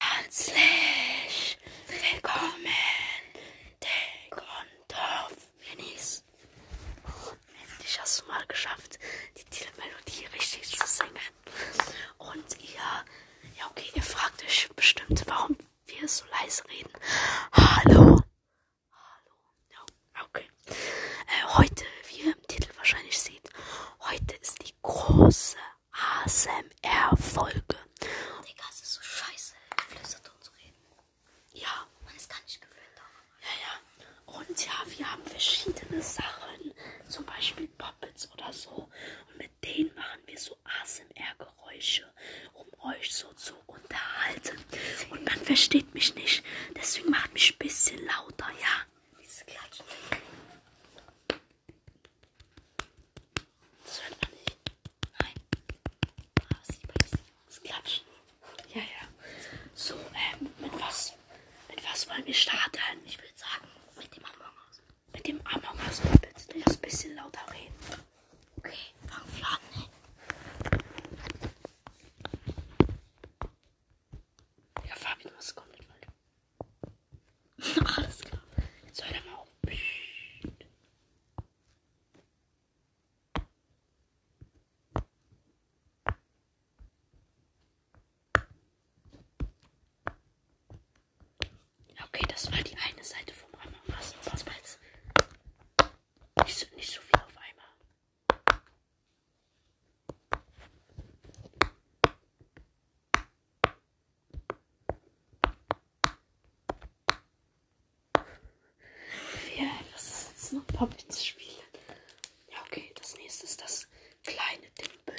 Herzlich willkommen, Dick und Dorf Minis. Endlich hast du mal geschafft, die Titelmelodie richtig zu singen. Und ihr, ja okay, ihr fragt euch bestimmt, warum wir so leise reden. Hallo. Hallo. Ja, okay. Äh, heute, wie ihr im Titel wahrscheinlich seht, heute ist die große ASMR-Folge. Oh, Digga, es ist so scheiße, geflüstert und zu reden. Ja. Man ist gar nicht gewöhnt daran. Ja, ja. Und ja, wir haben verschiedene Sachen, zum Beispiel Puppets oder so. Und mit denen machen wir so ASMR-Geräusche, um euch so zu unterhalten. Und man versteht mich nicht, deswegen macht mich ein bisschen lauter, ja. Dieses Klatschen. Das hört man nicht. Nein. Aber ah, sieht man das Klatschen. Ja, ja. So, ähm, mit was? Mit was wollen wir starten? Ich würde sagen, mit dem Among Us. Mit dem Among Us. Bitte lass ein bisschen lauter reden. Okay, fang fladen, ey. Ne? Ja, Fabi, du musst komplett weiter. Alles klar. Jetzt hört er mal auf. Okay, das war die eine Seite vom Among Us. Sonst war jetzt nicht so, nicht so viel auf einmal. Ja, was ist jetzt noch Puppet spielen? Ja, okay, das nächste ist das kleine Dimpel.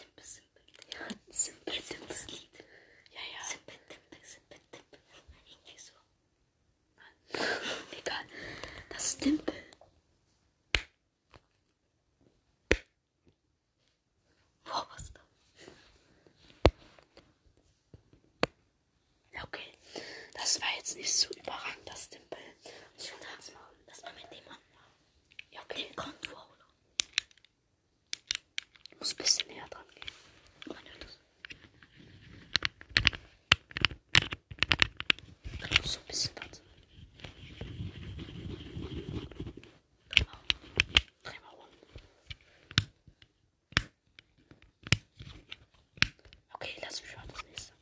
Dimpel, Simpel. Ja, Simpel, Simpel. Lied. Ja, ja. Simpel, Dimpel, Simpel, Dimpel. Irgendwie so. Nein. Egal. Das Dimpel. Vorwurst. Oh, okay, das war jetzt nicht so überragend, das Tempel. Ich kann das machen. Das war mit dem anmachen. Ja, okay. Den Kontur, oder? Ich muss ein bisschen näher dran gehen. Man hört das. Da muss so ein bisschen dazu. Genau. Dreimal rum. Okay, lass mich mal das nächste.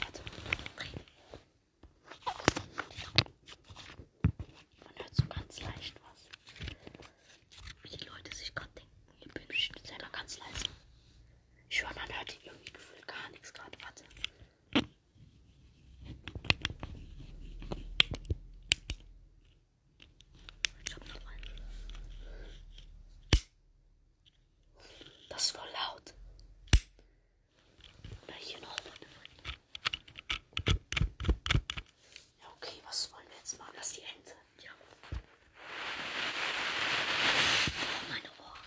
Warte. Man hört so ganz leicht was. Wie die Leute sich gerade denken. Ich bin bestimmt selber ganz leise. Ich höre, man hört irgendwie gefühlt gar nichts gerade. Warte. Ich hab noch einen. Das ist voll laut. Oder hier noch Ja, okay, was wollen wir jetzt machen? Das ist die Ente. Ja. Oh, meine Ohren.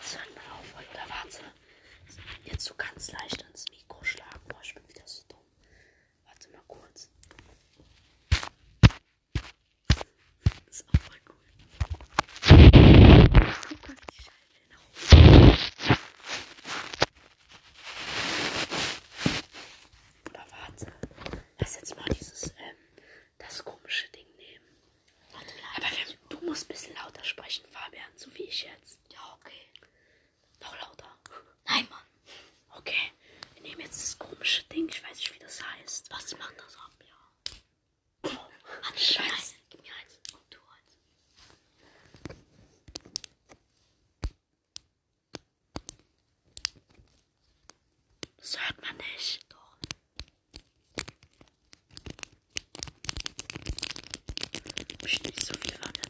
Sollte man aufhören? Oder warte. Jetzt so ganz leicht ans Mikro schlagen. Boah, ich bin wieder so dumm. Warte mal kurz. Das ist auch voll cool. Oh Gott, ich schalte den auf. Oder warte. Lass jetzt mal dieses, ähm, das komische Ding nehmen. Aber wir, du musst ein bisschen lauter sprechen, Fabian, so wie ich jetzt. Ja, okay. Noch lauter. Nein, Mann. Okay. Wir nehmen jetzt das komische Ding, ich weiß nicht, wie das heißt. Was macht das ab, ja? Oh, Mann, Scheiße. Gib mir eins und du eins. Das hört man nicht. Doch. Psst, nicht so viel Wanne.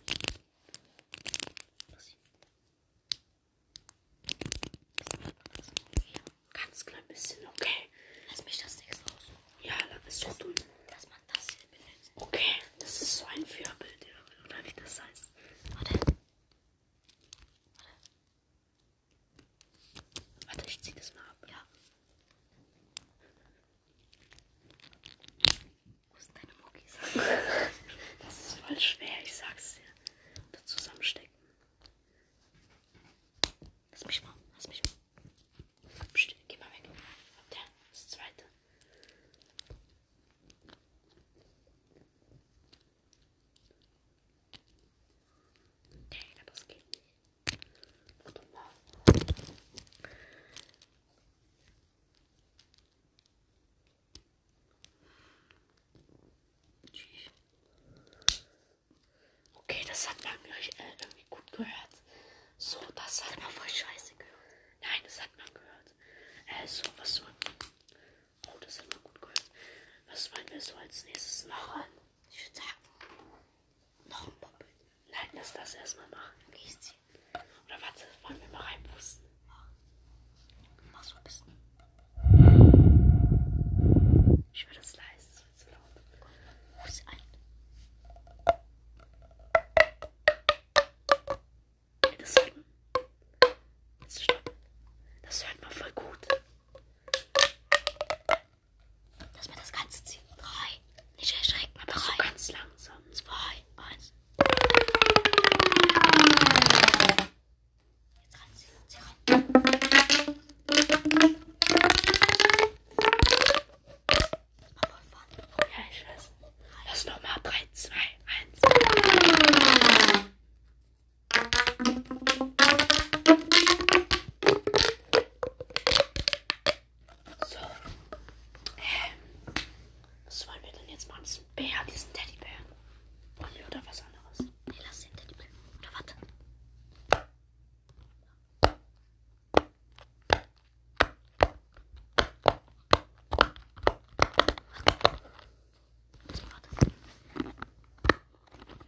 Ganz klein bisschen, okay. Lass mich das nichts raus. Ja, ist so dumm. Dass man das hier benutzt. Okay, das ist so ein Färbild, oder wie das heißt. Warte. Warte. Warte, ich zieh das mal ab. Ja. Wo sind deine Muckis? das ist voll schwer, ich sag's dir. Da zusammenstecken. Lass mich mal, lass mich mal. Psst, geh mal weg. Habt ihr das zweite? Digga, das geht nicht. Okay, das hat man mir äh, irgendwie gut gehört. So, das hat man voll scheiße gehört. Nein, das hat man gehört. Äh, so, was soll. Oh, das hat man gut gehört. Was wollen wir so als nächstes machen? Ich würde sagen, noch ein Poppel. Nein, lass das erstmal machen. Gieß Oder warte, wollen wir mal reinpusten? Mach so ein bisschen. Ich würde das leise, das wird zu laut. Komm, pust ein. Das hört man. Jetzt stoppen. Das hört man voll gut. Dass wir das Ganze ziehen. Drei. Nicht erschrecken, aber so ganz langsam. Zwei, eins. Jetzt ranziehen, zieh ran. Aber wann? Ja, ich weiß. Lass nochmal. Drei, zwei, eins. So. Ähm, was wollen wir denn jetzt machen? Diesen Bär, diesen Teddybär. Wollen wir oder was anderes? Nee, lass den Teddybär. Oder warte. warte.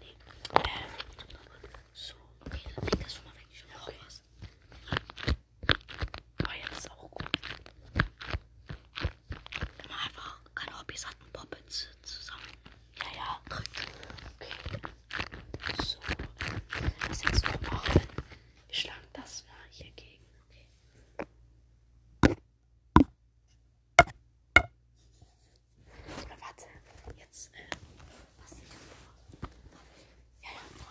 Nee. Ähm. So, okay, dann leg das schon mal weg. Ich schon okay. was. Aber jetzt ist auch gut. Wenn man einfach keine Hobbys hat und Poppets zusammen. Ja, ja, drückt. Okay. So, was jetzt noch machen? Wir schlagen das mal hier gegen. Okay. Aber warte, jetzt, äh, was ich Ja, ja, oh.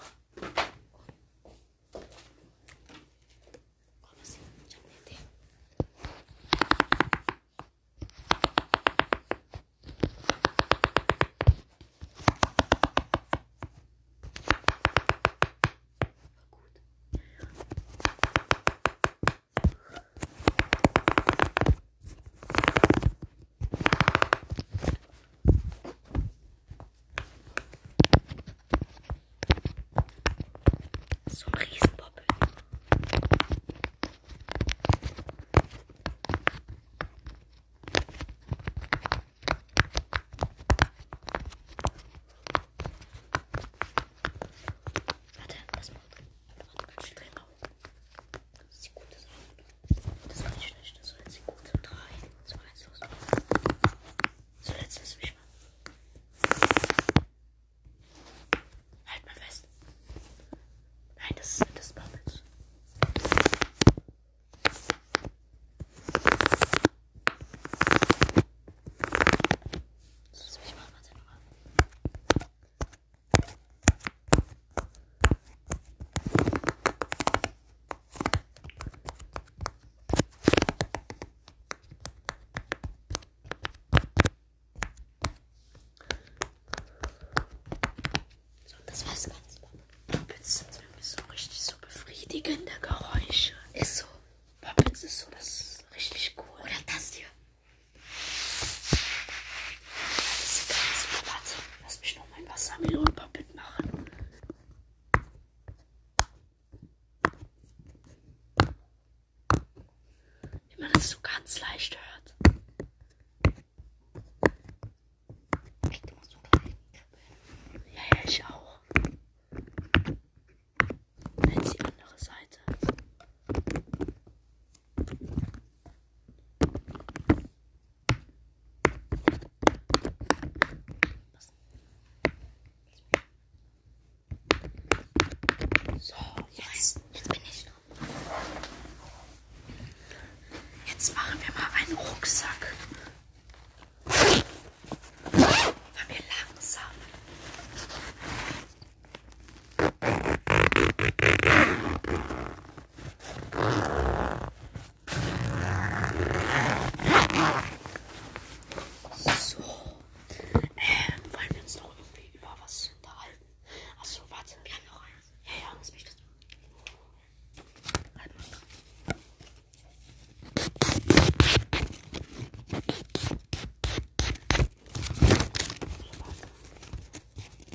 Komm, was ich habe eine Idee. Gut. Ja, ja. So ein Riesenpoppel. Warte, das macht. Warte, halt ganz strenger. Das sieht gut aus. Das ist nicht schlecht. Das war jetzt gut. 3, 2, 1, los. Zuletzt lass mich mal. Halt mal fest. Nein, das ist das Bubbles. Lass mich mal, warte nochmal. So, das war's ganz. Puppets sind nämlich so richtig so befriedigende Geräusche. Ist so. Puppets ist so, das ist richtig cool. Oder das hier. Das ist ganz super. Warte, lass mich noch mein Wassermelonenpuppet machen. Wie man das so ganz leicht hört. Ich muss so Ja, ja, ich auch. Jetzt die andere Seite. So, jetzt, jetzt bin ich noch. Jetzt machen wir mal einen Rucksack. Weil wir langsam so. Ähm, wollen wir uns noch irgendwie über was unterhalten? Achso, warte. Wir haben noch eins. Ja, ja, lass mich das. Halt mal.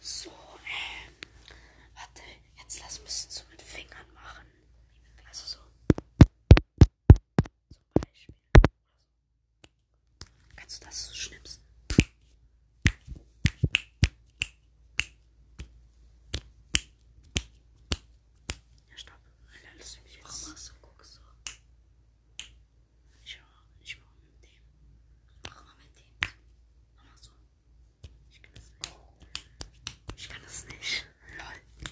So, ähm, warte, jetzt lass ein bisschen so mit Fingern machen. Also so. Zum Beispiel. Kannst du das so schnipsen? Ja, stopp. Alter, lass mich jetzt. Warum machst du, guckst du? Ich mach, ich mach mit dem. Mach mal mit dem. Mach mal so. Ich kann das nicht. Ich kann das nicht. Lol.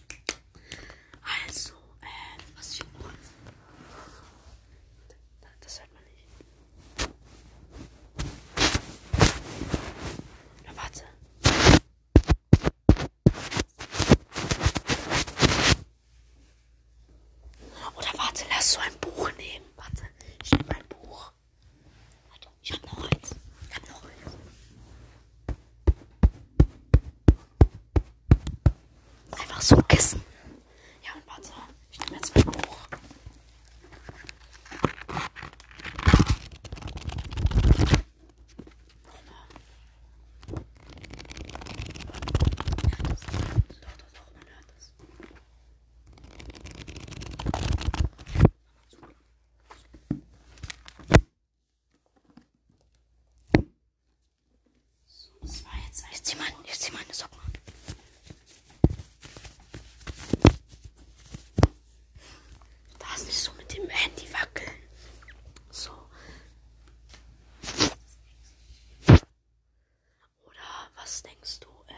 Also, äh, was ich. Das hört man nicht. Na, warte. Oder warte, lass so ein Buch nehmen. Warte, ich nehme ein Buch noch. Warte, ich hab noch eins. Ich hab noch eins. Einfach so Kissen. Ja, und warte. Ich nehme jetzt mein Buch. Doch, doch, doch, man hört es. So, das war jetzt. Ich zieh, mein, ich zieh meine Socken an. Da ist nicht so mit dem Handy wackeln. So. Oder was denkst du? Äh,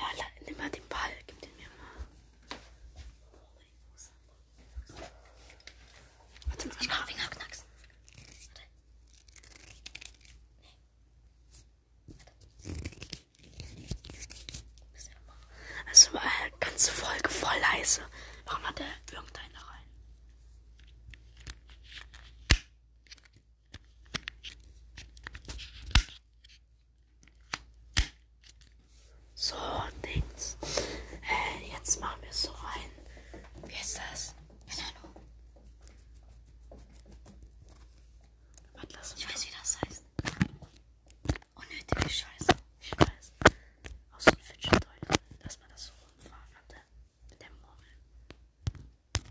äh nimm mal den Ball, gib den mir mal. Warte mal, ich Fingerknacks. Warte. Nee. Warte. Also äh, ganze Folge voll leise. Warum hat er irgendeinen da rein? So, Dings. Äh, jetzt machen wir so ein. Wie heißt das? Keine Ahnung. Atlas. Ich weiß, wie das heißt. Unnötige Scheiße. Ich weiß. Aus so einem Fidget-Toy. Lass mal das so rumfahren. Mit der, mit der Murmel.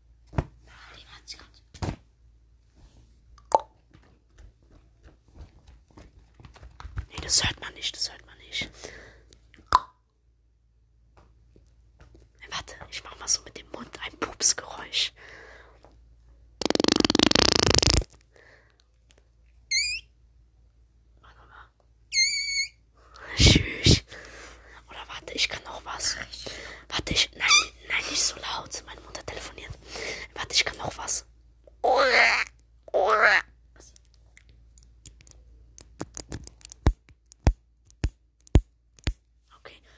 Den hat sie ganz. Nee, das hört man nicht, das hört man nicht. Hey, warte, ich mach mal so mit dem Mund ein Pupsgeräusch. Warte mal. Tschüss. Oder warte, ich kann noch was. Warte, ich. Nein, nein, nicht so laut. Meine Mutter telefoniert. Warte, ich kann noch was. Okay,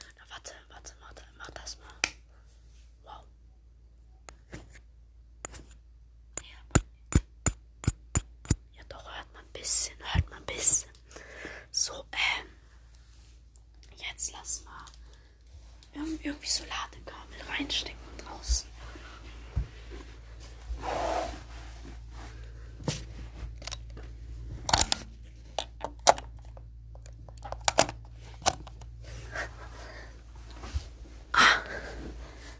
na warte, warte, warte, mach das mal. Wow. Ja, doch, hört man ein bisschen, hört man ein bisschen. So, ähm. Jetzt lassen wir irgendwie Solardekabel reinstecken draußen. Ah,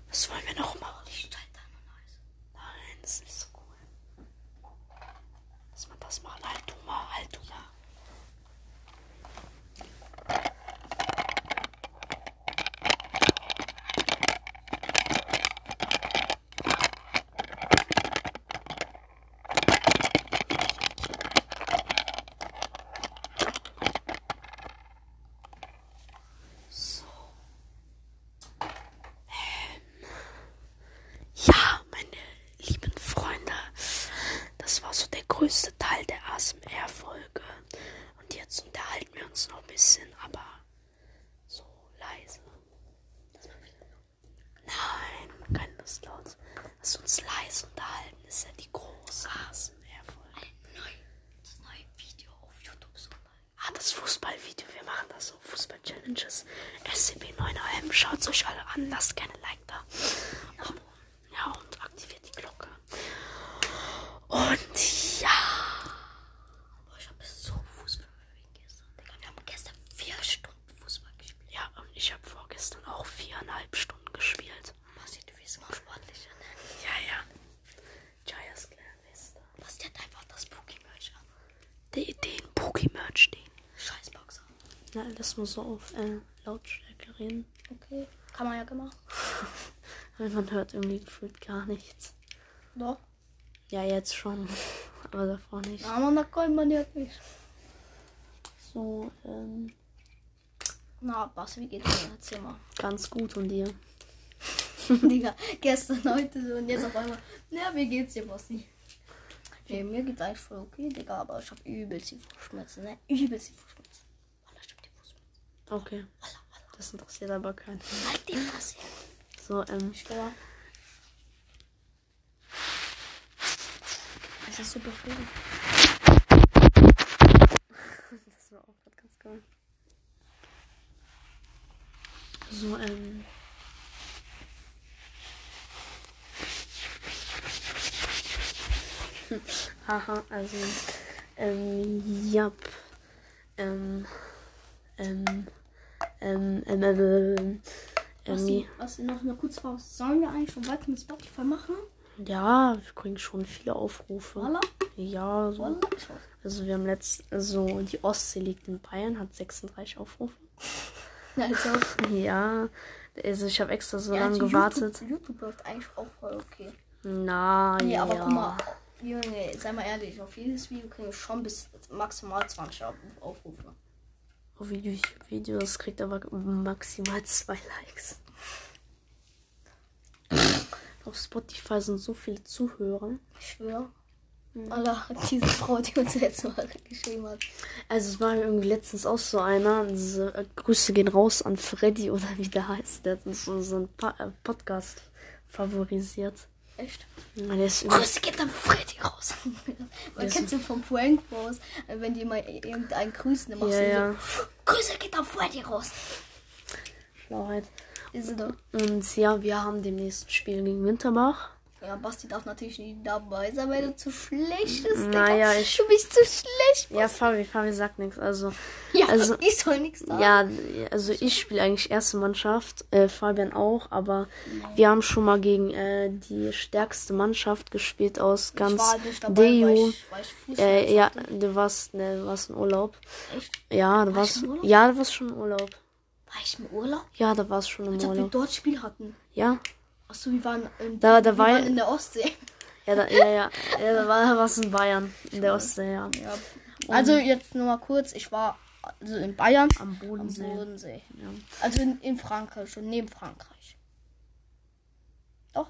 was wollen wir noch machen? Ich da ein neues. Nein, das ist nicht so cool. Dass man das mal. Halt du mal, halt du mal. So. Ähm, ja, meine lieben Freunde, das war so der größte Teil der ASMR-Folge. Und jetzt unterhalten wir uns noch ein bisschen, aber so leise. Nein, man kann das laut. Lass uns leise unterhalten, ist ja die große ASMR-Folge. Ein neues Video auf YouTube sogar. Ah, das Fußballvideo. Wir machen das so. Fußball-Challenges. SCP-9AM. Schaut euch alle an. Lasst gerne Like da. Um, ja, und aktiviert die Glocke. Und ja. Boah, ich habe so Fußball gespielt gestern. Digga, wir haben gestern vier Stunden Fußball gespielt. Ja, und ich habe vorgestern auch viereinhalb Stunden gespielt. Basti, du bist mal sportlicher, ne? Ja, ja. Jayas Clan ist da. Basti hat einfach das Pokémon an den Pokémon stehen. Scheiß Boxer. Na, lass mal so auf äh, Lautstärke reden. Okay, kann man ja gemacht. man hört irgendwie gefühlt gar nichts. Doch. Ja, jetzt schon. Aber davor nicht. Aber da kann man ja nicht. So, ähm. Na, Bas, wie geht's dir? Erzähl mal. Ganz gut und dir? Digga, gestern, heute und jetzt auf einmal. Na, wie geht's dir, Bossi? Wer mir gesagt voll okay, Digga, aber ich hab übelst die Fußschmerzen, ne? Übelst die Fußschmerzen. Wallah, ich hab die Fußschmerzen. Okay. Wallah, wallah. Das interessiert aber keinen. Halt die Fresse. So, ähm. Ich glaube. Es ist super früh. Das war auch gerade ganz geil. So, ähm. Aha, also, ähm, ja. Ähm, ähm, ähm, ähm, ähm, ähm, was, was ähm. noch eine kurze Pause. Sollen wir eigentlich schon weiter mit Spotify machen? Ja, wir kriegen schon viele Aufrufe. Voila. Ja, so. Also wir haben letzt, also die Ostsee liegt in Bayern, hat 36 Aufrufe. Also. Ja, also ich habe extra so ja, lange also gewartet. YouTube, YouTube läuft eigentlich auch voll okay. Na, nee, ja. aber guck mal, Junge, sei mal ehrlich, auf jedes Video kriegen wir schon bis maximal 20 Aufrufe. Auf oh, Videos kriegt aber maximal zwei Likes. auf Spotify sind so viele Zuhörer. Ich schwöre. Mhm. Allah, diese Frau, die uns letztes Mal geschrieben hat. Also es war irgendwie letztens auch so einer. Diese, äh, Grüße gehen raus an Freddy oder wie der heißt. Der hat uns unseren pa äh, Podcast favorisiert. Echt? Ja, der ist Grüße geht an Freddy raus. Man kennt so vom Prank Bros, äh, wenn die mal irgendeinen grüßen, dann machst ja, du ja. so, Grüße geht an Freddy raus. Schlauheit. Ist er doch. Und ja, wir haben demnächst ein Spiel gegen Winterbach. Ja, Basti darf natürlich nicht dabei sein, weil du zu schlecht bist. Naja, Digga. ich. Du bist zu schlecht. Basti. Ja, Fabi, Fabi sagt nichts. Also, ja, also, ich soll nichts sagen. Ja, also ich spiele eigentlich erste Mannschaft, äh, Fabian auch, aber Nein. wir haben schon mal gegen äh, die stärkste Mannschaft gespielt aus ganz Deo. Äh, ja, du warst, ne, du warst in Urlaub. Echt? Ja, du warst, war ja, du warst schon in Urlaub. War ich im Urlaub? Ja, da war es schon im Als Urlaub. Als wir dort Spiel hatten. Ja. Achso, wir waren, in, da, da wir war waren in der Ostsee. Ja, da, ja, ja, ja. da war was in Bayern. In der Ostsee, ja. ja. Also jetzt nur mal kurz, ich war also in Bayern. Am Bodensee. Am Bodensee. Ja. Also in, in, Frankreich, schon neben Frankreich. Doch.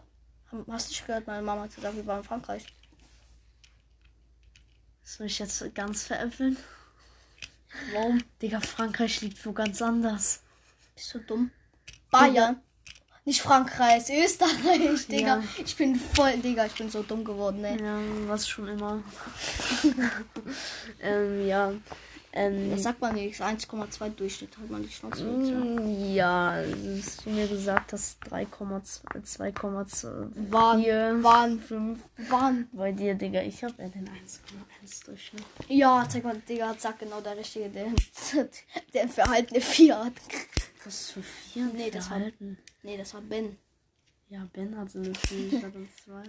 Hast du nicht gehört? Meine Mama hat gesagt, wir waren in Frankreich. Das will ich jetzt ganz veräppeln. Warum? Digga, Frankreich liegt wo ganz anders. Bist du dumm? Bayern. Digga. Nicht Frankreich, Österreich, Digga. Ja. Ich bin voll, Digga, ich bin so dumm geworden, ey. Ne? Ja, was schon immer. ähm, ja. Ähm, das sagt man nichts. 1,2 Durchschnitt hat man die Chance. Mm, ja, dass du mir gesagt hast, 3,2 waren, waren 5. Bahn bei dir, Digga. Ich hab ja den 1,1 Durchschnitt. Ja, zeig mal, Digga, zack, genau der richtige, der, der verhaltene Fiat. Was für vier? Nee, das verhalten. war. Nee, das war Ben. Ja, Ben hatte eine 4, ich hatte eine 2.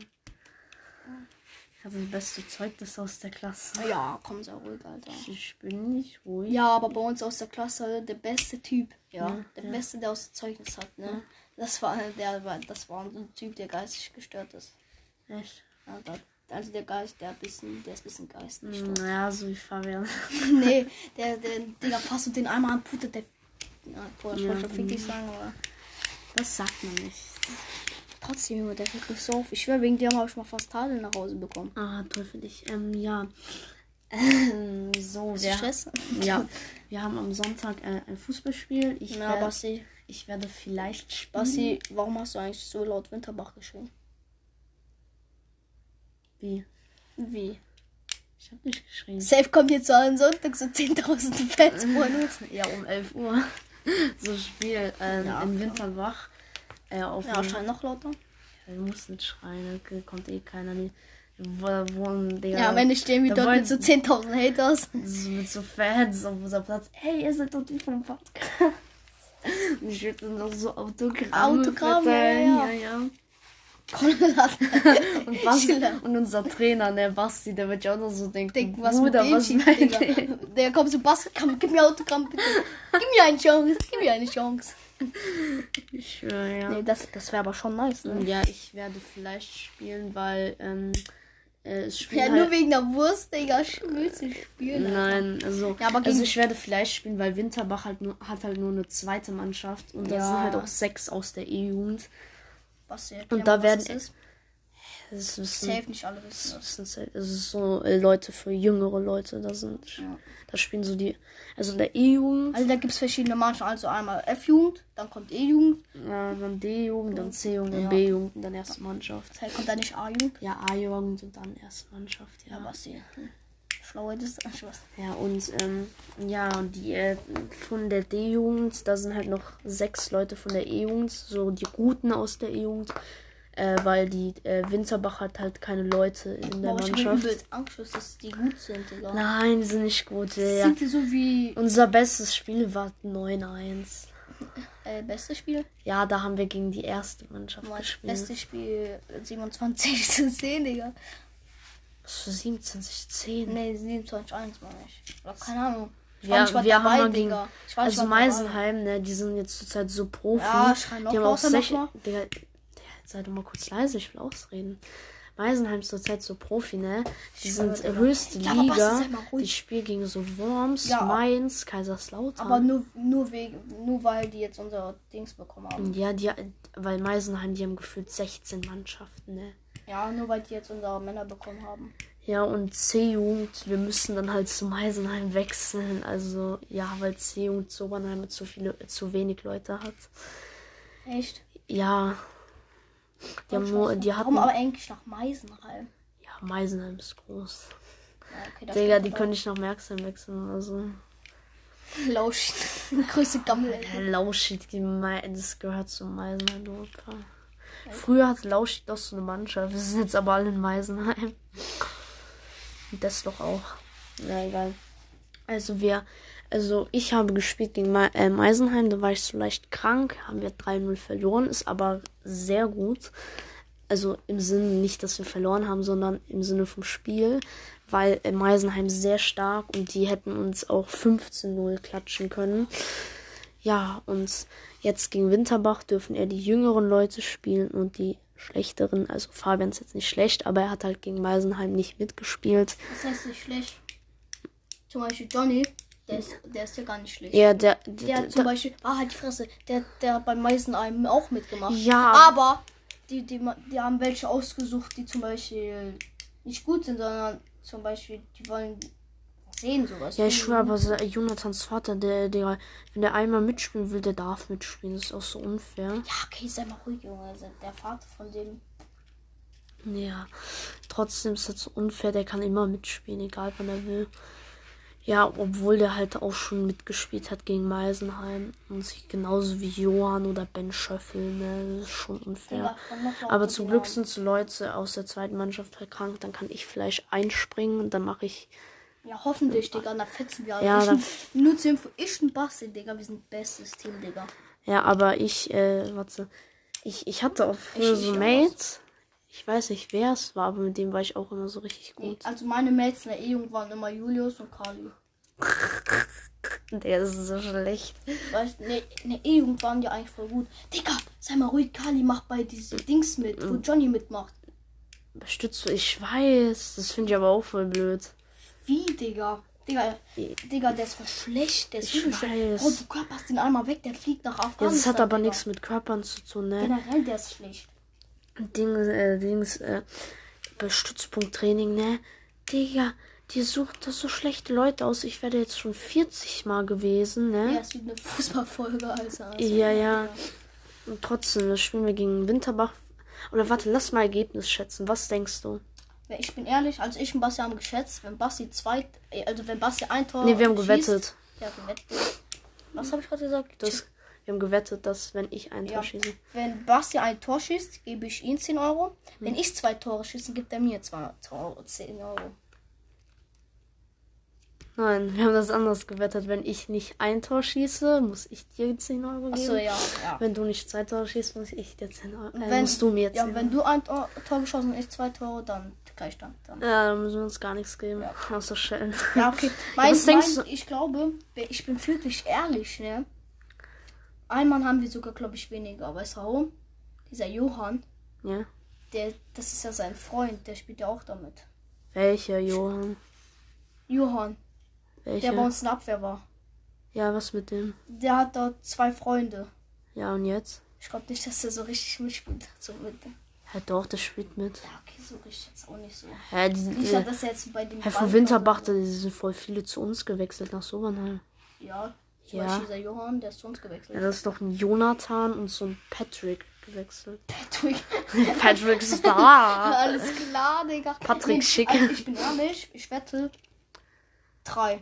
Also das beste Zeugnis aus der Klasse. Ja, komm, sei ruhig, Alter. Ich bin nicht ruhig. Ja, aber bei uns aus der Klasse der beste Typ. Ja, ja der ja. beste, der aus dem Zeugnis hat, ne? Ja. Das war halt der, das war so ein Typ, der geistig gestört ist. Echt? Ja, also der Geist, der bisschen, der ist ein bisschen geistig. Mm, gestört. Naja, so wie Fabian. nee, der, der, Digga, passt du den einmal an, Puter, der. Na, boah, ich wollte schon fick dich sagen, aber. Das sagt man nicht. Trotzdem, Junge, der kriegt mich so auf. Ich schwöre, wegen dir habe ich mal fast Tadel nach Hause bekommen. Ah, toll für dich. Ähm, ja. Ähm, so, der, Stress? Ja. Wir haben am Sonntag äh, ein Fußballspiel. Ich, Na, werde, Basti. ich werde vielleicht spielen. Basti, warum hast du eigentlich so laut Winterbach geschrieben? Wie? Wie? Ich hab nicht geschrieben. Safe kommt jetzt so am Sonntag so 10.000 Fans von uns. ja, um 11 Uhr. So Spiel ähm, ja, in Winterbach. Äh, auf ja, schrei noch lauter. Wir mussten schreien, okay, kommt eh keiner. Nie. Wo, wo, Digga, ja, am Ende stehen wir dort wollen, mit so 10.000 Haters. Mit so Fans auf unserem Platz. Hey, ihr seid doch die vom Podcast. Und ich würde dann noch so Autogramme Autogramme, verteilen. ja, ja. ja. und, Basti, und unser Trainer, der ne, Basti, der wird ja auch noch so denken, Denk, was Bruder, mit was meint Digga. Der kommt so, Basti, komm, gib mir Autogramm, bitte. Gib mir eine Chance, gib mir eine Chance. Ich schwöre, ja. Nee, das, das wäre aber schon nice, ne? Ja, ich werde Fleisch spielen, weil ähm, äh, es spielen Ja, halt nur wegen der Wurst, Digga, willst du spielen? Nein, Alter. also, ja, aber also ich werde Fleisch spielen, weil Winterbach halt nur, hat halt nur eine zweite Mannschaft und da ja. sind halt auch sechs aus der E-Jugend. Was erklären, Und da werden es es ist safe ein, nicht alle wissen das. Es ist, es ist so äh, Leute für jüngere Leute, da sind ja. da spielen so die also in der E-Jugend. Also da gibt es verschiedene Mannschaften, also einmal F-Jugend, dann kommt E-Jugend. Ja, dann D-Jugend, dann C-Jugend, dann ja. B-Jugend und dann erste Mannschaft. Hey, kommt da nicht A-Jugend? Ja, A-Jugend und dann erste Mannschaft, ja. ja was hier? Hm. Schlaue Distanz, was? Ja, und ähm, ja, und die äh, von der D-Jugend, da sind halt noch sechs Leute von der E-Jugend, so die Guten aus der E-Jugend. Äh, weil die äh, Winterbach hat halt keine Leute in der Boah, Mannschaft. Ich habe Angst, dass die Guten gut sind, oder? Nein, die sind nicht gut, Digga. Sind die so wie. Unser bestes Spiel war 9-1. Äh, bestes Spiel? Ja, da haben wir gegen die erste Mannschaft Mann, gespielt. Bestes Spiel 27 zu 10, Digga. Was für 27 10? Nee, 27 1 meine ich. Oder keine Ahnung. Ich ja, wir dabei, haben mal gegen, Digga. Ich weiß, also Meisenheim, ne, die sind jetzt zurzeit so Profi. Ja, schreien noch die haben auch 16, Digga, Digga, sei doch mal kurz leise, ich will auch Ausreden. Weisenheim ist zurzeit so Profi, ne? Die ich sind genau. höchste Liga. Liga. Die spielen gegen so Worms, ja. Mainz, Kaiserslautern. Aber nur, nur, wegen, nur weil die jetzt unser Dings bekommen haben. Ja, die, weil Meisenheim, die haben gefühlt 16 Mannschaften, ne? Ja, nur weil die jetzt unsere Männer bekommen haben. Ja, und C-Jugend, wir müssen dann halt zu Meisenheim wechseln. Also, ja, weil C-Jugend zu Obernheim zu, viele, zu wenig Leute hat. Echt? Ja, die, haben nur, die hatten, Warum aber eigentlich nach Meisenheim? Ja, Meisenheim ist groß. Ja, okay, Digga, die drauf. können ich nach Merksheim wechseln oder so. Lauschig. Größte Gammel. Lauschig, das gehört zu Meisenheim, du Früher hat Lauschig doch so eine Mannschaft. Wir sind jetzt aber alle in Meisenheim. Und das doch auch. Na egal. Also wir, also ich habe gespielt gegen Ma äh, Meisenheim, da war ich so leicht echt krank. Haben wir 3-0 verloren, ist aber sehr gut. Also im Sinne nicht, dass wir verloren haben, sondern im Sinne vom Spiel. Weil äh, Meisenheim sehr stark und die hätten uns auch 15-0 klatschen können. Ja, und jetzt gegen Winterbach dürfen eher die jüngeren Leute spielen und die schlechteren. Also Fabian ist jetzt nicht schlecht, aber er hat halt gegen Meisenheim nicht mitgespielt. Das heißt nicht schlecht. Zum Beispiel Johnny, der ist, der ist ja gar nicht schlecht. Ja, der. Der, der hat zum der, Beispiel. Ah, halt die Fresse. Der, der hat beim meisten einem auch mitgemacht. Ja. Aber die, die, die haben welche ausgesucht, die zum Beispiel nicht gut sind, sondern zum Beispiel, die wollen sehen sowas. Ja, ich schwöre, aber äh, Jonathans Vater, der, der, wenn der einmal mitspielen will, der darf mitspielen. Das ist auch so unfair. Ja, okay, sei mal ruhig, Junge. Also, der Vater von dem ja, trotzdem ist das unfair. Der kann immer mitspielen, egal wann er will. Ja, obwohl der halt auch schon mitgespielt hat gegen Meisenheim. Und sich genauso wie Johann oder Ben Schöffel, ne? Das ist schon unfair. Aber zum Glück sind so Leute aus der zweiten Mannschaft erkrankt. Halt dann kann ich vielleicht einspringen und dann mache ich. Ja, hoffentlich, Digga. Dann fetzen wir alle. Ja, dann nur zur Info, ich und Basti, Digga. Wir sind bestes Team, Digga. Ja, aber ich, äh, warte. Ich, ich hatte auch früher so Mates. Ich weiß nicht, wer es war, aber mit dem war ich auch immer so richtig gut. Also meine Mates in der E-Jugend waren immer Julius und Kali. Der ist so schlecht. Weißt du, ne, in der E-Jugend waren die eigentlich voll gut. Digga, sei mal ruhig, Kali macht bei diesen Dings mit, wo mm. Johnny mitmacht. Stütze, ich weiß. Das finde ich aber auch voll blöd. Wie, Digga? Digga, Digga, der ist voll schlecht. Der ist übel schlecht. Oh, du körperst den einmal weg, der fliegt nach Afghanistan. Ja, das hat aber Digga. nichts mit Körpern zu tun, ne? Generell, der ist schlecht. Dings, äh, Dings, äh, bei Stützpunkttraining, ne? Digga, die sucht das so schlechte Leute aus. Ich werde jetzt schon 40 Mal gewesen, ne? Ja, es wird eine Fußballfolge, Alter. Also, ja, ja. Und trotzdem, das spielen wir gegen Winterbach. Oder warte, lass mal Ergebnis schätzen. Was denkst du? Ich bin ehrlich, als ich und Basti haben geschätzt, wenn Basti zwei, äh, also wenn Basti ein Tor. Nee, wir haben schießt, gewettet. Ja, gewettet. Was habe ich gerade gesagt? Das, wir haben gewettet, dass wenn ich ein ja. Tor schieße. Wenn Basti ein Tor schießt, gebe ich ihm 10 Euro. Hm. Wenn ich zwei Tore schieße, gibt er mir zwei Tore, 10 Euro. Nein, wir haben das anders gewettet. Wenn ich nicht ein Tor schieße, muss ich dir 10 Euro geben. Ach so, ja, ja. Wenn du nicht zwei Tore schießt, muss ich ich jetzt hin. Äh, wenn, musst du mir jetzt. Ja, hin. wenn du ein Tor, Tor geschossen und ich zwei Tore, dann Gleichstand. Dann. Ja, dann müssen wir uns gar nichts geben. Ja. Außer Schellen. Ja, okay. Mein, ja, mein, ich glaube, ich bin wirklich ehrlich, ne? Einmal haben wir sogar, glaube ich, weniger. Weißt du warum? Dieser Johann. Ja. Der, das ist ja sein Freund, der spielt ja auch damit. Welcher Johann? Johann. Welcher? Der bei uns in der Abwehr war. Ja, was mit dem? Der hat dort zwei Freunde. Ja, und jetzt? Ich glaube nicht, dass er so richtig mitspielt. So mit. Ja, doch, der spielt mit. Ja, okay, so richtig jetzt auch nicht so. Ja, die, nicht, äh, dass er jetzt bei dem Herr von Winterbach, da sind voll viele zu uns gewechselt nach Sobernheim. Ja, zum ja. Beispiel dieser Johann, der ist zu uns gewechselt. Ja, das ist doch ein Jonathan und so ein Patrick gewechselt. Patrick. Patrick ist da. Alles klar, Digga. Patrick nee, Schick. Also ich bin ehrlich, ich wette. Drei.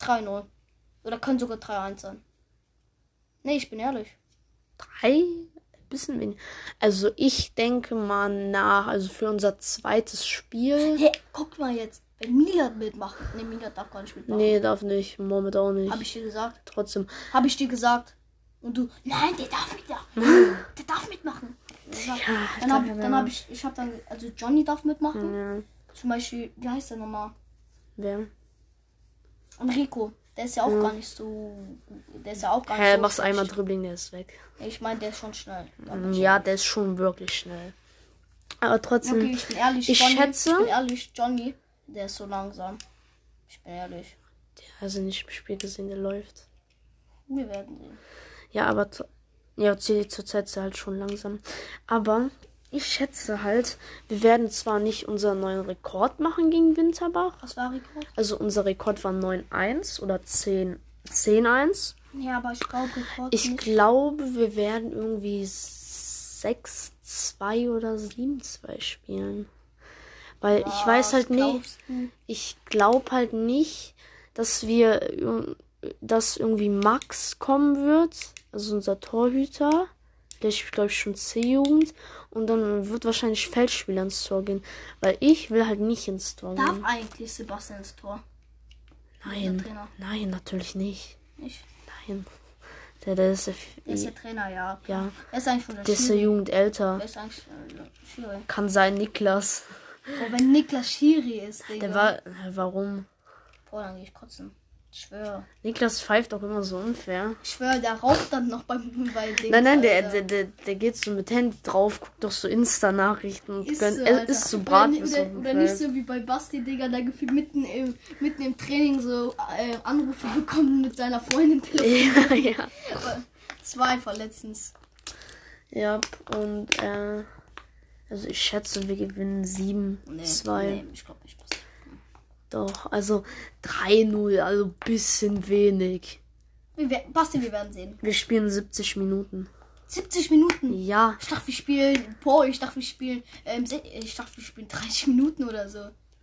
3-0. Oder können sogar 3-1 sein. Nee, ich bin ehrlich. 3? Bisschen wenig. Also ich denke mal nach, also für unser zweites Spiel. Hey, guck mal jetzt. Wenn Milan mitmacht. Ne, Milan darf gar nicht mitmachen. Nee, darf nicht. Mohammed auch nicht. Hab ich dir gesagt? Trotzdem. Hab ich dir gesagt. Und du, nein, der darf mitmachen. Hm. der darf mitmachen. Ja, dann habe dann hab ich, ich habe dann, also Johnny darf mitmachen. Ja. Zum Beispiel, wie heißt der nochmal? Wer? Enrico. Der ist ja auch mhm. gar nicht so. Der ist ja auch gar nicht hey, so. machst schlecht. einmal Dribbling, der ist weg. Ich meine, der ist schon schnell. Ja, der ist schon wirklich schnell. Aber trotzdem. Okay, ich bin ehrlich, ich Johnny, schätze. Ich bin ehrlich, Johnny, der ist so langsam. Ich bin ehrlich. Der also nicht im Spiel gesehen, der läuft. Wir werden sehen. Ja, aber ja, zurzeit halt schon langsam. Aber ich schätze halt, wir werden zwar nicht unseren neuen Rekord machen gegen Winterbach. Was war Rekord? Also unser Rekord war 9-1 oder 10-1. 10-1. Ja, aber ich glaube Rekord Ich nicht. glaube, wir werden irgendwie 6-2 oder 7-2 spielen. Weil ja, ich weiß halt nicht, ich glaube halt nicht, dass wir dass irgendwie Max kommen wird, also unser Torhüter. Der spielt, glaube ich, schon C-Jugend. Und dann wird wahrscheinlich Feldspieler ins Tor gehen. Weil ich will halt nicht ins Tor Darf gehen. Darf eigentlich Sebastian ins Tor? Nein. Nein, natürlich nicht. Nicht? Nein. Der, der ist der, der ist der Trainer, ja. Ja. Er ist eigentlich schon der, der ist der Jugend älter. Der ist eigentlich äh, Kann sein, Niklas. Oh, wenn Niklas Schiri ist, Digga. Der war. Warum? Boah, dann gehe ich kotzen. Ich schwöre. Niklas pfeift auch immer so unfair. Ich schwöre, der raucht dann noch beim bei dem. Nein, nein, der, der, der, der, geht so mit Handy drauf, guckt doch so Insta-Nachrichten und ist, gönnt, so, Alter. ist so Braten. Oder, oder, oder nicht so wie bei Basti, Digga, der gefühlt mitten im, mitten im Training so äh, Anrufe bekommt mit seiner Freundin telefoniert. Ja, ja. Zwei vor letztens. Ja, und äh, also ich schätze, wir gewinnen 7, nee, 2. Nee, ich glaube nicht. Passiert. Doch, also 3-0, also bisschen wenig. Wir, Basti, wir werden sehen. Wir spielen 70 Minuten. 70 Minuten? Ja. Ich dachte, wir spielen. Boah, ich dachte, wir spielen. Ähm, ich dachte, wir spielen 30 Minuten oder so.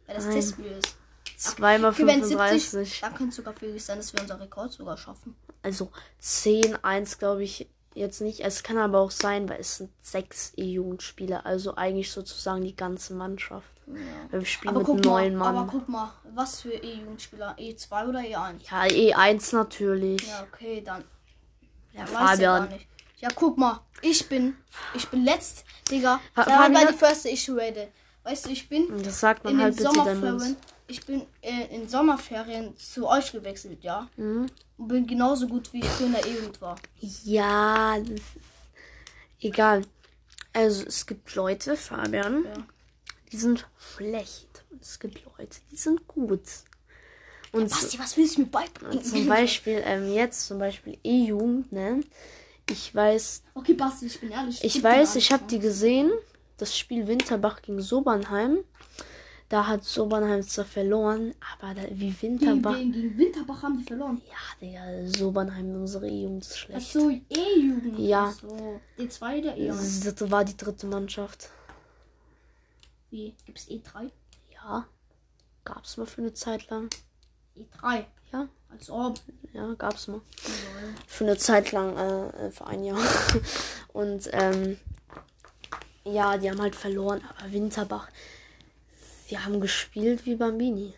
Weil das Nein. Testspiel ist. Zweimal 35. 70, dann könnte es sogar viel sein, dass wir unser Rekord sogar schaffen. Also 10-1, glaube ich, jetzt nicht. Es kann aber auch sein, weil es sind sechs E-Jugendspieler, also eigentlich sozusagen die ganze Mannschaft. Ja. Wir spielen aber mit neun mal, Mann. Aber guck mal, was für E-Jugendspieler? E2 oder E1? Ja, E1 natürlich. Ja, okay, dann. Ja, Fabian. Ja, ja, guck mal, ich bin, ich bin letzt, Digga. Da war bei die erste ich rate. Weißt du, ich bin das sagt man in halt den Sommerferien, ich bin äh, in Sommerferien zu euch gewechselt, ja. Mhm und bin genauso gut, wie ich früher in der Jugend war. Ja, egal. Also es gibt Leute, Fabian, ja. die sind schlecht. Und es gibt Leute, die sind gut. Und ja, Basti, was willst du mir beibringen? Zum Beispiel, ähm, jetzt zum Beispiel E-Jugend, ne? Ich weiß. Okay, Basti, ich bin ehrlich. Ich, ich weiß, ich habe die gesehen. Das Spiel Winterbach gegen Sobernheim. Da hat Sobernheim zwar verloren, aber da, wie Winterbach. Gegen, gegen, gegen, Winterbach haben die verloren. Ja, Digga, Sobernheim, unsere E-Jugend ist schlecht. Ach so, E-Jugend. Ja. So. E2 der E1. Das war die dritte Mannschaft. Wie? Gibt's E3? Ja. Gab's mal für eine Zeit lang. E3? Ja. Als ob. Ja, gab's mal. Ja. Für eine Zeit lang, äh, für ein Jahr. Und, ähm, ja, die haben halt verloren, aber Winterbach, sie haben gespielt wie Bambini.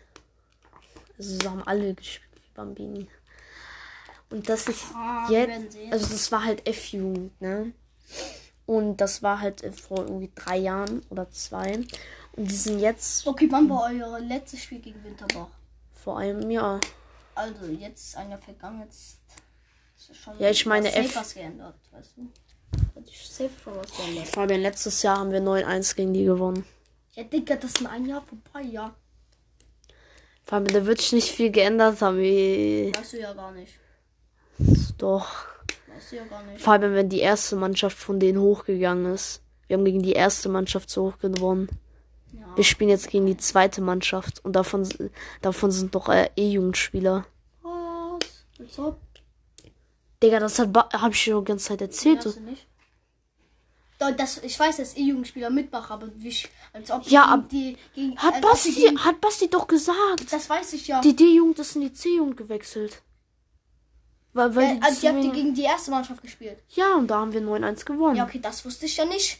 Also sie haben alle gespielt wie Bambini. Und das ist oh, jetzt, also das war halt F-Jugend, ne? Und das war halt vor irgendwie drei Jahren oder zwei. Und die sind jetzt. Okay, wann war euer letztes Spiel gegen Winterbach? Vor einem Jahr. Also jetzt ist einer vergangen, jetzt ja, ich meine F. Geändert, weißt du? oh, Fabian, letztes Jahr haben wir 9-1 gegen die gewonnen. Ja, Digga, das ist ein Jahr vorbei, ja. Fabian, da wird sich nicht viel geändert haben. Wie... Weißt du ja gar nicht. Doch. Weißt du ja gar nicht. Fabian, wenn die erste Mannschaft von denen hochgegangen ist. Wir haben gegen die erste Mannschaft so hoch gewonnen. Ja. Wir spielen jetzt gegen die zweite Mannschaft und davon, davon sind noch äh, äh, E-Jugendspieler. Was? Als ob? Digga, das hat hab ich dir schon die ganze Zeit erzählt. Nee, nicht. Das, ich weiß, dass E-Jugendspieler Mitbach, aber wie, als ob ja, gegen die gegen, hat Basti gegen, hat Basti doch gesagt. Das weiß ich ja. Die D-Jugend ist in die C-Jugend gewechselt. Weil, weil ja, äh, die, also die habt ihr gegen die erste Mannschaft gespielt. Ja, und da haben wir 9-1 gewonnen. Ja, okay, das wusste ich ja nicht.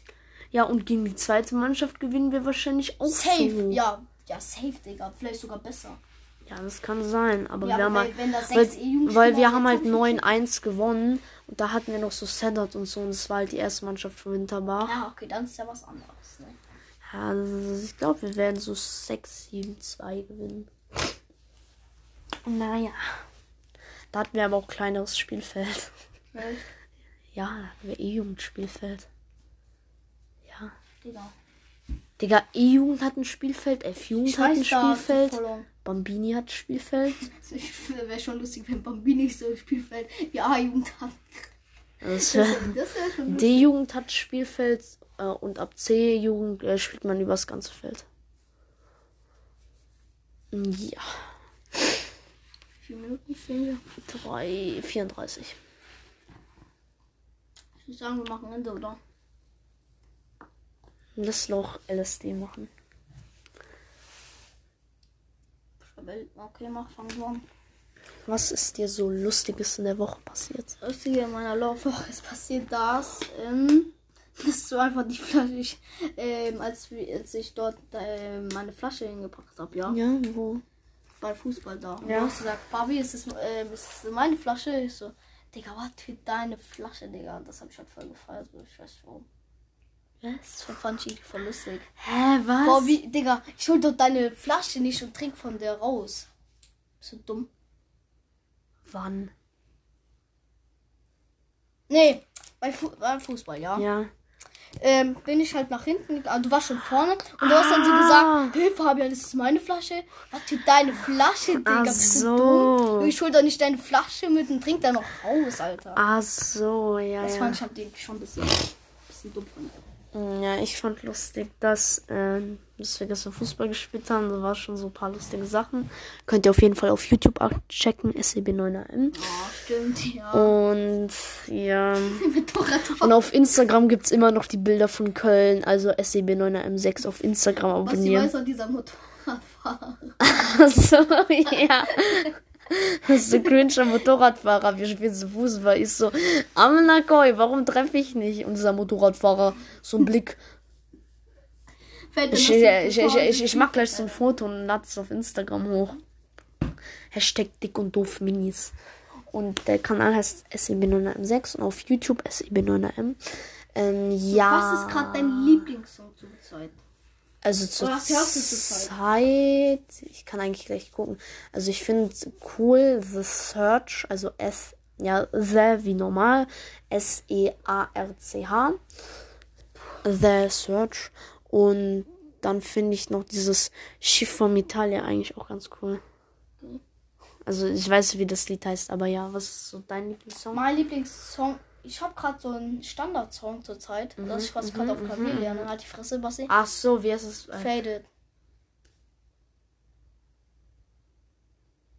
Ja, und gegen die zweite Mannschaft gewinnen wir wahrscheinlich auch. Safe, so. ja. Ja, safe, Digga. Vielleicht sogar besser. Ja, das kann sein, aber ja, wir aber haben weil, halt, weil, weil wir haben halt 9-1 gewonnen und da hatten wir noch so Sedat und so und das war halt die erste Mannschaft von Winterbach. Ja, ah, okay, dann ist ja was anderes, ne? Ja, also ich glaube, wir werden so 6-7-2 gewinnen. Naja. Da hatten wir aber auch kleineres Spielfeld. Ja. Ja, hatten wir E-Jugendspielfeld. Ja. Digga. Digga, E-Jugend hat ein Spielfeld, F-Jugend hat ein Spielfeld. Bambini hat ein Spielfeld. Also wäre schon lustig, wenn Bambini so ein Spielfeld wie A-Jugend hat. Das wär, das wär schon D-Jugend hat Spielfeld äh, und ab C-Jugend äh, spielt man übers ganze Feld. Ja. Wie viele Minuten fehlen wir? 3, 34. Ich würde sagen, wir machen Ende, oder? Lass noch LSD machen. Okay, mach, fang du an. Was ist dir so Lustiges in der Woche passiert? Lustige in meiner Laufwoche ist passiert das, ähm, dass so einfach die Flasche, ich, ähm, als, als ich dort äh, meine Flasche hingepackt habe, ja? Ja, wo? bei Fußball da. Und ja. du hast gesagt, Papi, ist das, ähm, äh, ist das meine Flasche? Ich so, Digga, was für deine Flasche, Digga? Und das habe ich halt voll gefeiert, so ich weiß warum. Was? Von Funchi, voll lustig. Hä, was? Boah, wie, Digga, ich hol doch deine Flasche nicht und trink von der raus. Bist du dumm? Wann? Nee, bei, Fu bei Fußball, ja. Ja ähm, bin ich halt nach hinten. Also du warst schon vorne. Und du ah. hast dann so gesagt, hey ah. Fabian, das ist meine Flasche. Was für deine Flasche, Digga. Ach bist so. du dumm? Ich hol doch nicht deine Flasche mit und trink da noch raus, Alter. Ach so, ja. Das ja. fand ich halt schon ein bisschen, ein bisschen dumm von mir. Mm, ja, ich fand lustig, dass, äh, dass wir gestern Fußball gespielt haben. Da war schon so ein paar lustige Sachen. Könnt ihr auf jeden Fall auf YouTube abchecken. SEB 9 bleiben. Oh, stimmt, ja. Und ja. Und auf Instagram gibt es immer noch die Bilder von Köln, also e SEB9M6 auf Instagram abonnieren. Was weiß an dieser Motorradfahrer? so, ja. Das ist so cringe am Motorradfahrer. Wir spielen so Fußball. Ich so, Amnakoi, warum treffe ich nicht? Und dieser Motorradfahrer, so ein Blick. Ich, ich, ich, ich, ich, mach gleich so ein Foto und lade es auf Instagram hoch. Hashtag dick und doof Minis. Und der Kanal heißt e SEB9M6 und auf YouTube SEB9M. Ähm, ja. Was ist gerade dein Lieblingssong zur Zeit? Also zur, Oder hörst du zur Zeit? Zeit. Ich kann eigentlich gleich gucken. Also ich finde cool The Search, also S, ja, The wie normal, S-E-A-R-C-H. The Search. Und dann finde ich noch dieses Schiff vom Italia eigentlich auch ganz cool. Also ich weiß, wie das Lied heißt, aber ja, was ist so dein Lieblingssong? Mein Lieblingssong, ich habe gerade so einen Standardsong zur Zeit, mhm, dass ich was mhm, gerade auf Klavier mhm. lerne, halt die Fresse, Basti. Ach so, wie heißt es? Äh, Faded.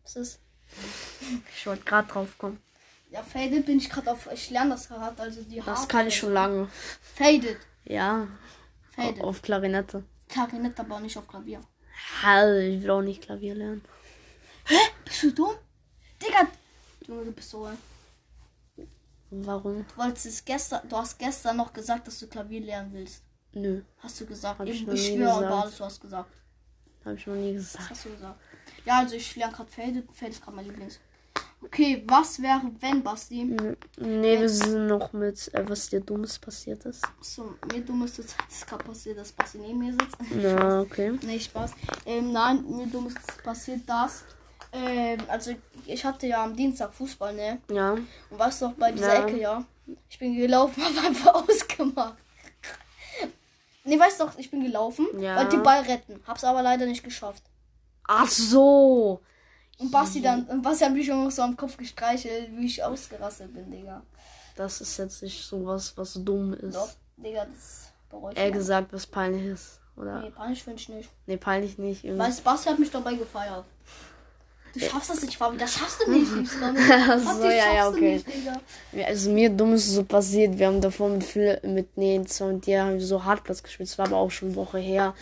Was ist? Ich wollte gerade drauf kommen. Ja, Faded bin ich gerade auf. Ich lerne das gerade, halt, also die Haare. Das kann ich schon lange. Faded. Ja. Faded. Auf Klarinette. Klarinette, aber nicht auf Klavier. Also, ich will auch nicht Klavier lernen. Hä? Bist du dumm? Digga, Junge, du bist so. Warum? Du wolltest es gestern, du hast gestern noch gesagt, dass du Klavier lernen willst. Nö. Hast du gesagt? Hab ich, ich schwöre über alles, du hast gesagt. Hab ich noch nie gesagt. Was hast du gesagt? Ja, also ich lerne gerade Faded. Faded ist gerade mein Lieblings. Okay, was wäre, wenn, Basti? Nee, wenn wir sind noch mit, äh, was dir Dummes passiert ist. So, mir Dummes zur Zeit ist halt gerade passiert, dass Basti neben mir sitzt. Na, okay. nee, Spaß. Ähm, nein, mir Dummes passiert das. Ähm, also, ich hatte ja am Dienstag Fußball, ne? Ja. Und warst noch bei dieser ja. Ecke, ja? Ich bin gelaufen, hab einfach ausgemacht. ne, weißt du, ich bin gelaufen, ja. wollte den Ball retten. Hab's aber leider nicht geschafft. Ach so. Und Basti dann, und Basti hat mich immer so am Kopf gestreichelt, wie ich ausgerastet bin, Digga. Das ist jetzt nicht so was, was dumm ist. Doch, Digga, das bereut Er gesagt, was peinlich ist, oder? Nee, peinlich finde ich nicht. Nee, peinlich nicht. Irgendwie. Weißt Basti hat mich dabei gefeiert. Du schaffst das nicht, Fabi, das schaffst du nicht, nicht. so, ja, ja, okay. Nicht, also mir dumm ist so passiert, wir haben davor mit, mit nee, zwar mit dir haben wir so Hartplatz das gespielt. Es war aber auch schon eine Woche her.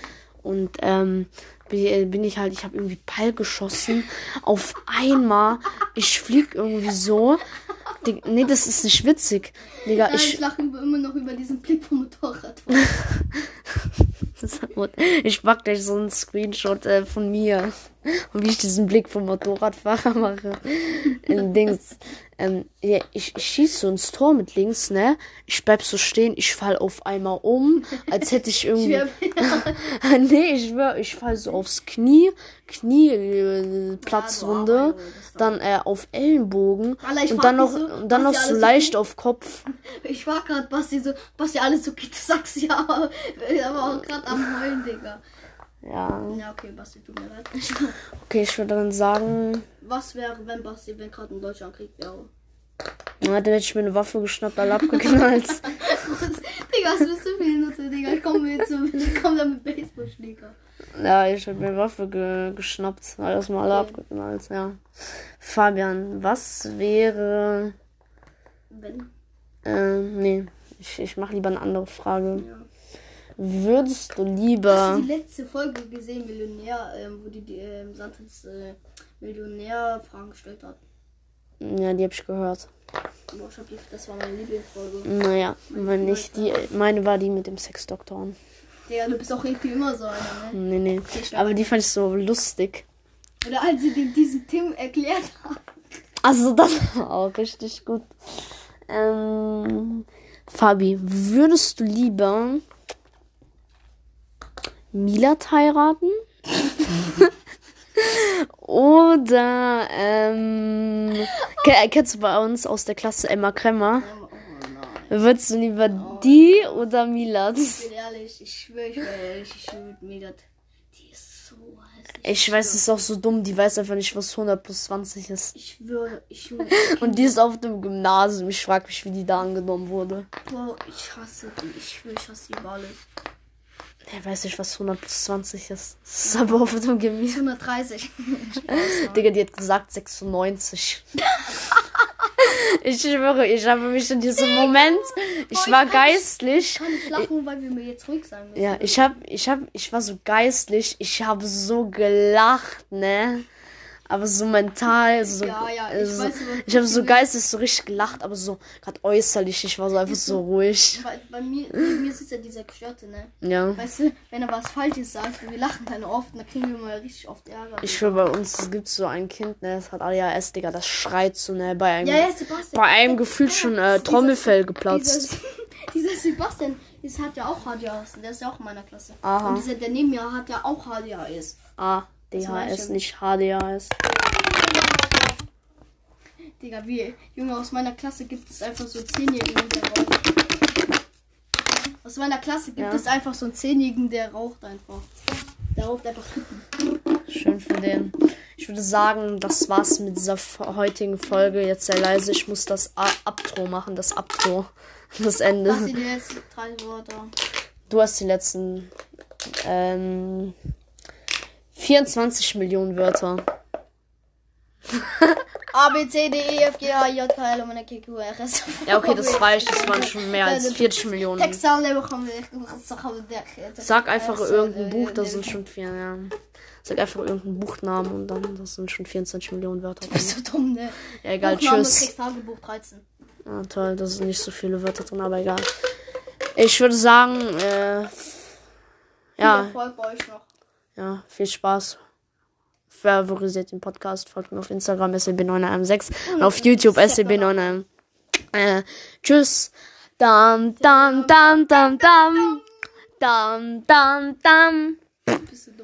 Und ähm, äh, bin ich halt, ich habe irgendwie Ball geschossen. Auf einmal, ich flieg irgendwie so. Dig, nee, das ist nicht witzig. Digga, Nein, ich, ich lache immer noch über diesen Blick vom Motorrad. ich pack gleich so einen Screenshot äh, von mir. Und wie ich diesen Blick vom Motorradfahrer mache. In äh, Dings. Ähm, ja, ich, ich schieße so ins Tor mit links, ne? Ich bleib so stehen, ich fall auf einmal um, als hätte ich irgendwie. nee, ich schwör, ich fall so aufs Knie, Knie, äh, oh, Platzwunde, dann äh, auf Ellenbogen Alter, und dann noch, so, und dann noch so leicht so auf Kopf. Ich war grad Basti so, Basti alles so, du sagst ja, aber, aber auch grad am Heulen, Digga. Ja. Ja, okay, Basti, tut mir leid. okay, ich würde dann sagen was wäre, wenn Basti, wenn gerade ein deutscher Krieg wäre? Na, ja, dann hätte ich mir eine Waffe geschnappt, alle abgeknallt. Digga, was bist du für Nutze, Digga? Ich komme jetzt so, ich komm da mit Baseballschläger. Ja, ich habe mir eine Waffe ge geschnappt, alles mal alle okay. abgeknallt, ja. Fabian, was wäre. Wenn? Äh, nee, ich, ich mache lieber eine andere Frage. Ja. Würdest du lieber letzte Folge gesehen, Millionär, ähm, wo die, die ähm, Santis äh, Millionär-Fragen gestellt hat. Ja, die hab ich gehört. Boah, ich hab die, das war meine Lieblingsfolge. Naja, meine wenn nicht die, meine war die mit dem Sexdoktor. Ja, du bist auch irgendwie immer so einer, ne? Nee, nee. Aber die fand ich so lustig. Oder als sie dem diesen Tim erklärt hat. Also, das war auch richtig gut. Ähm, Fabi, würdest du lieber Milat heiraten. Oder, ähm, kennst du bei uns aus der Klasse Emma Kremmer? Würdest du lieber oh. die oder Milat? Ich bin ehrlich, ich schwöre, ich bin ehrlich, ich schwöre mit Milat. Die ist so hässlich. Ich weiß, es ist auch so dumm, die weiß einfach nicht, was 100 plus 20 ist. Ich schwöre, Junge, ich, ich Und die ist auf dem Gymnasium. Ich frage mich, wie die da angenommen wurde. Boah, ich hasse die. Ich, ich hasse die Wale. Ich weiß nicht, was 100 plus 20 ist. Das ist aber auf dem Gemüse. 130. Digga, die hat gesagt 96. ich schwöre, ich habe mich in diesem Digga. Moment, ich Boah, war ich geistlich. Kann ich kann nicht lachen, weil wir mir jetzt ruhig sagen müssen. Ja, ich hab, ich hab, ich war so geistlich, ich habe so gelacht, ne? aber so mental, so, ja, ja, ich, also so, ich habe so geistig so richtig gelacht, aber so gerade äußerlich, ich war so einfach so ruhig. Bei, bei mir, bei mir sitzt ja dieser Klotte, ne? Ja. Weißt du, wenn er was Falsches sagt, wir lachen dann oft, dann kriegen wir mal richtig oft Ärger. Ich schwöre, bei uns gibt so ein Kind, ne, das hat ADHS, Digga, das schreit so, ne, bei einem, ja, bei einem Gefühl schon äh, Trommelfell geplatzt. Dieses, dieser Sebastian, ist, hat ja auch HDHS. Der ist ja auch in meiner Klasse. Aha. Und dieser, der neben mir hat ja auch HDHS. Ah, DHS, nicht HDHS. Digga, wie, Junge, aus meiner Klasse gibt es einfach so einen Zehnjährigen, der raucht. Aus meiner Klasse gibt ja. es einfach so einen Zehnjährigen, der raucht einfach. Der raucht einfach Schön für den. Ich würde sagen, das war's mit dieser heutigen Folge. Jetzt sei leise, ich muss das Abtro machen, das Abtro. das Ende. Was sind die letzten drei Wörter? Du hast die letzten ähm, 24 Millionen Wörter. A, B, C, D, E, F, G, H, J, K, L, M, N, Q, R, S. Ja, okay, das war ich. Das waren schon mehr als 40 Millionen. Sag einfach äh, irgendein äh, Buch, da sind äh, schon vier, ja. Sag einfach irgendeinen Buchnamen und dann das sind schon 24 Millionen Wörter. Du bist so dumm, ne? Ja, egal, Buch tschüss. Tagebuch 13. Ah, toll, da sind nicht so viele Wörter drin, aber egal. Ich würde sagen, äh, ja. Viel bei euch noch. Ja, viel Spaß. Favorisiert den Podcast, folgt mir auf Instagram SLB916 und, und auf YouTube SLB9. Äh, tschüss. Dam, dam, dam, dam, dam. Dam, dam, dam.